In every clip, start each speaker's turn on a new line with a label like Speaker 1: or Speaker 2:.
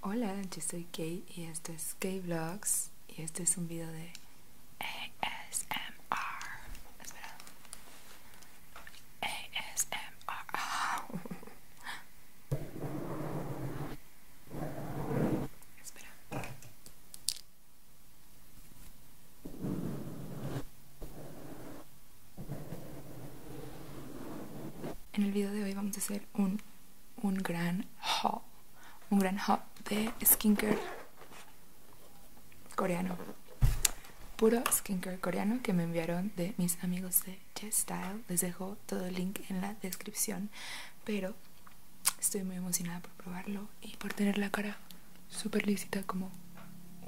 Speaker 1: Hola, yo soy Kate y esto es Kate Vlogs y este es un video de ASMR. Espera. ASMR. Espera. En el video de hoy vamos a hacer un un gran haul, un gran haul de skincare coreano, puro skincare coreano que me enviaron de mis amigos de style Les dejo todo el link en la descripción, pero estoy muy emocionada por probarlo y por tener la cara súper lícita como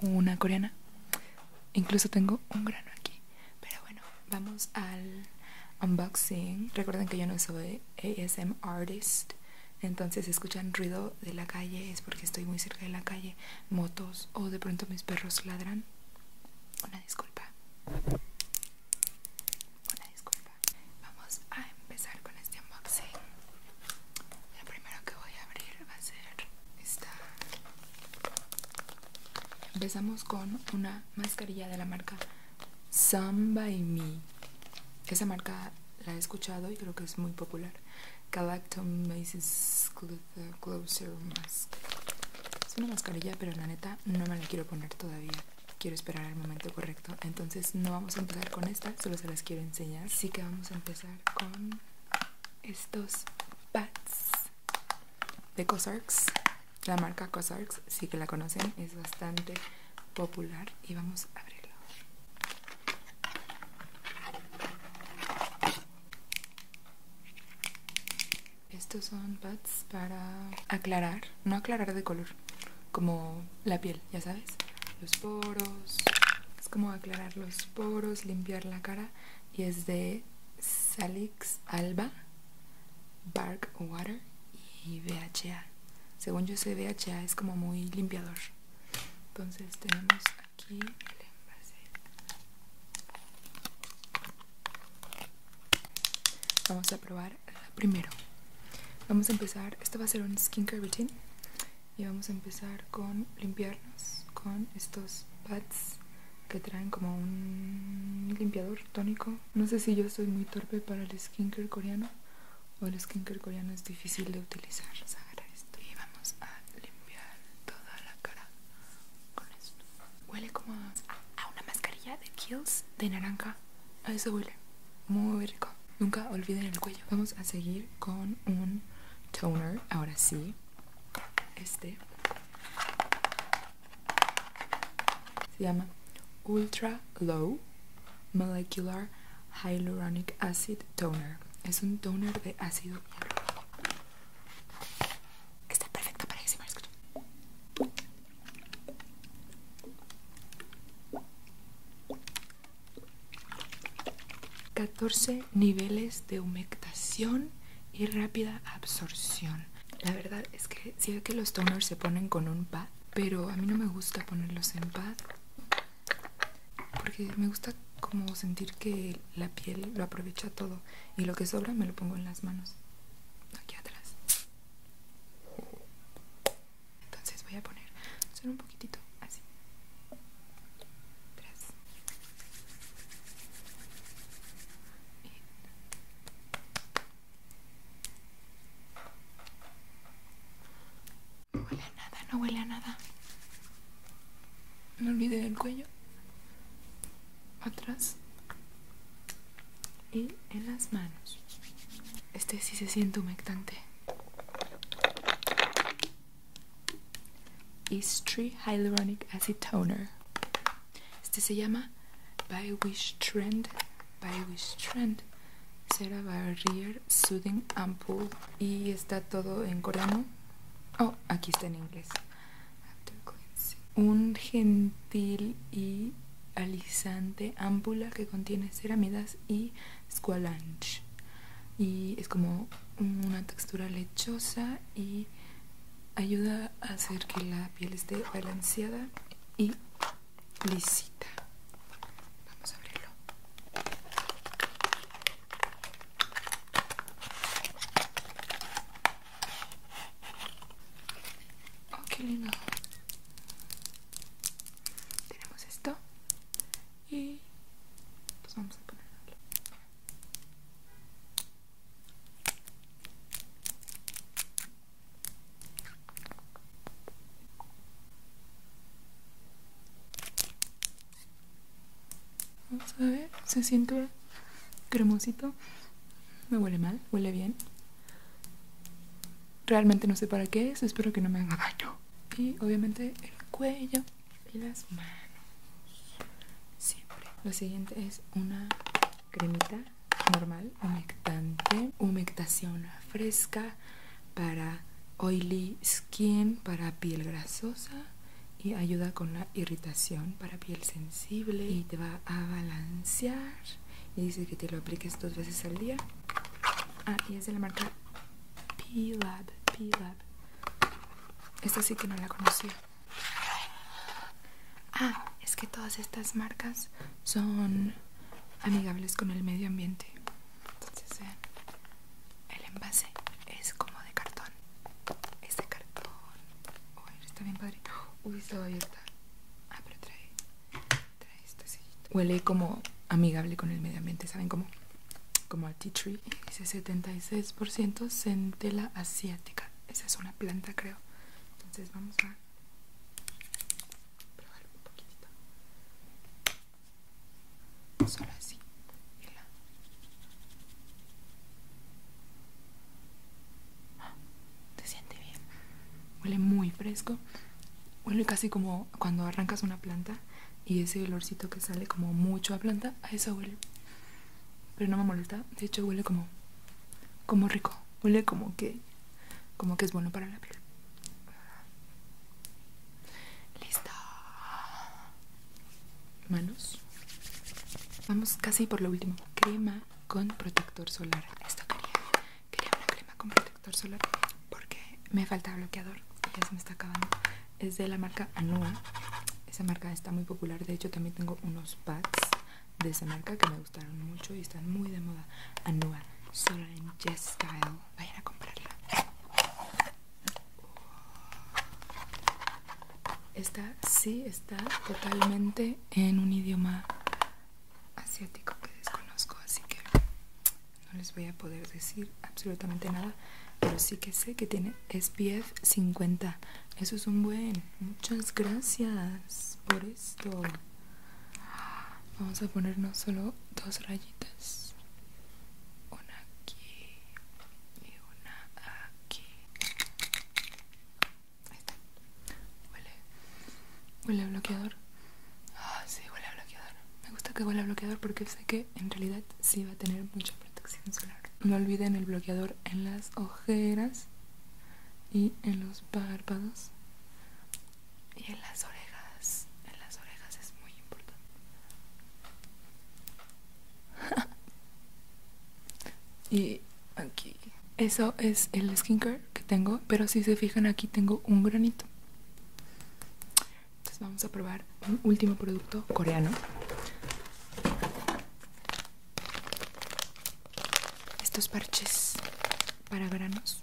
Speaker 1: una coreana. Incluso tengo un grano aquí. Pero bueno, vamos al unboxing. Recuerden que yo no soy ASM artist, entonces si escuchan ruido de la calle es porque estoy muy cerca de la calle, motos o de pronto mis perros ladran. Una disculpa. Una disculpa. Vamos a empezar con este unboxing. Lo primero que voy a abrir va a ser esta Empezamos con una mascarilla de la marca Samba by Me. Esa marca la he escuchado y creo que es muy popular. Basis Closer Mask. Es una mascarilla, pero la neta no me la quiero poner todavía. Quiero esperar al momento correcto. Entonces no vamos a empezar con esta, solo se las quiero enseñar. Así que vamos a empezar con estos pads de Cosarks la marca COSRX, sí que la conocen, es bastante popular y vamos a abrirlo. Estos son pads para aclarar, no aclarar de color, como la piel, ya sabes, los poros, es como aclarar los poros, limpiar la cara y es de Salix Alba Bark Water y BHA. Según yo sé, BHA es como muy limpiador. Entonces tenemos aquí el envase. Vamos a probar primero. Vamos a empezar, esto va a ser un skincare routine. Y vamos a empezar con limpiarnos con estos pads que traen como un limpiador tónico. No sé si yo soy muy torpe para el skincare coreano o el skincare coreano es difícil de utilizar. Vamos a agarrar esto y vamos a limpiar toda la cara con esto. Huele como a, una mascarilla de Kills de naranja. A eso huele. Muy rico. Nunca olviden el cuello. Vamos a seguir con un toner. Ahora sí. Este se llama Ultra Low Molecular Hyaluronic Acid Toner. Es un toner de ácido Está perfecto para escuche. 14 niveles de humectación y rápida absorción. La verdad es que si que los toners se ponen con un pad, pero a mí no me gusta ponerlos en pad porque me gusta como sentir que la piel lo aprovecha todo y lo que sobra me lo pongo en las manos aquí atrás entonces voy a poner solo un poquitito así no huele a nada, no huele a nada. No olvide el cuello. Atrás. Y en las manos. Este sí se siente humectante. Eastree Hyaluronic Acid Toner. Este se llama By Wish Trend. By Wish Trend. Cera Barrier Soothing Ampoule. Y está todo en coreano. Oh, aquí está en inglés. Un gentil y alisante ampula que contiene ceramidas y squalanch. Y es como una textura lechosa y ayuda a hacer que la piel esté balanceada y lisita. Vamos a abrirlo. Oh, qué lindo. Tenemos esto y pues vamos a ponerlo. Vamos a ver, se siente cremosito. me huele mal, huele bien. Realmente no sé para qué es, espero que no me haga daño. Y obviamente el cuello y las manos. Siempre. Lo siguiente es una cremita normal, humectante, humectación fresca para oily skin, para piel grasosa y ayuda con la irritación para piel sensible y te va a balancear y dice que te lo apliques dos veces al día ah y es de la marca P-Lab esta sí que no la conocía Ah, es que todas estas marcas son amigables con el medio ambiente. Entonces, eh, el envase es como de cartón. Es de cartón. Uy, está bien padre. Uy, Ah, pero trae, trae este Huele como amigable con el medio ambiente, ¿saben cómo? Como a tea tree. Dice 76% centela asiática. Esa es una planta, creo. Entonces vamos a probar un poquitito. Solo así. te ah, siente bien. Huele muy fresco. Huele casi como cuando arrancas una planta y ese olorcito que sale como mucho a planta, a eso huele pero no me molesta. De hecho huele como, como rico, huele como que, como que es bueno para la piel. Listo. Manos. Vamos casi por lo último. Crema con protector solar. Esto quería, quería una crema con protector solar porque me falta bloqueador. Ya se me está acabando. Es de la marca Anua. Esa marca está muy popular. De hecho también tengo unos pads de esa marca que me gustaron mucho y están muy de moda. Anua Solar en Jess Style. Vayan a comprarla. Esta sí está totalmente en un idioma asiático que desconozco, así que no les voy a poder decir absolutamente nada, pero sí que sé que tiene SPF 50. Eso es un buen. Muchas gracias por esto. Vamos a ponernos solo dos rayitas. Una aquí y una aquí. Huele. Huele bloqueador. Ah, sí, huele bloqueador. Me gusta que huele a bloqueador porque sé que en realidad sí va a tener mucho protección solar. No olviden el bloqueador en las ojeras y en los párpados y en las orejas. En las orejas es muy importante. y aquí. Eso es el skincare que tengo, pero si se fijan aquí tengo un granito. Entonces vamos a probar un último producto coreano. Estos parches para granos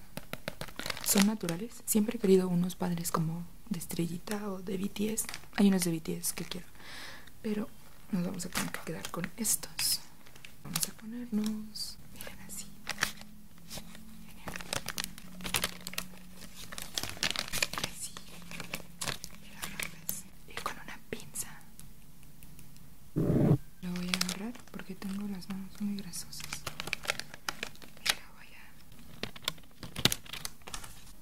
Speaker 1: son naturales. Siempre he querido unos padres como de estrellita o de BTS. Hay unos de BTS que quiero. Pero nos vamos a tener que quedar con estos. Vamos a ponernos. Miren así. Así y eh, con una pinza. Lo voy a agarrar porque tengo las manos muy grasosas.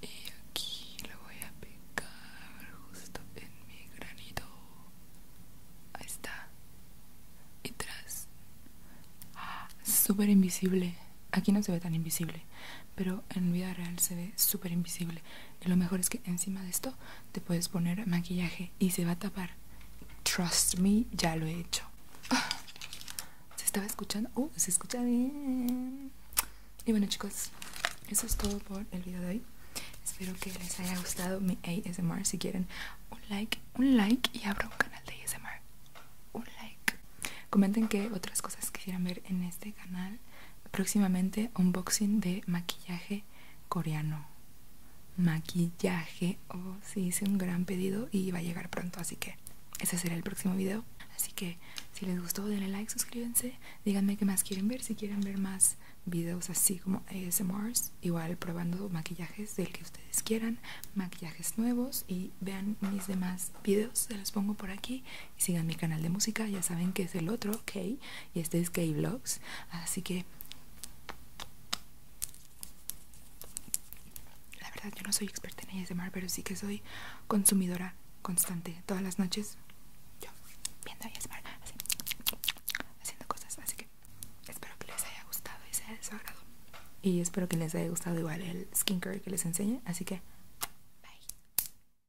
Speaker 1: Y aquí lo voy a pegar justo en mi granito. Ahí está. Y tras. super ah, súper invisible. Aquí no se ve tan invisible, pero en vida real se ve súper invisible lo mejor es que encima de esto te puedes poner maquillaje y se va a tapar trust me ya lo he hecho ah, se estaba escuchando uh, se escucha bien y bueno chicos eso es todo por el video de hoy espero que les haya gustado mi ASMR si quieren un like un like y abro un canal de ASMR un like comenten qué otras cosas quisieran ver en este canal próximamente unboxing de maquillaje coreano maquillaje oh sí hice un gran pedido y va a llegar pronto así que ese será el próximo video así que si les gustó denle like suscríbanse díganme qué más quieren ver si quieren ver más videos así como ASMRs igual probando maquillajes del que ustedes quieran maquillajes nuevos y vean mis demás videos se los pongo por aquí y sigan mi canal de música ya saben que es el otro ok y este es Gay vlogs Así que la verdad yo no soy experta en ASMR, pero sí que soy consumidora constante. Todas las noches yo viendo ASMR, así, haciendo cosas. Así que espero que les haya gustado y sea haya Y espero que les haya gustado igual el skincare que les enseñe. Así que... Bye.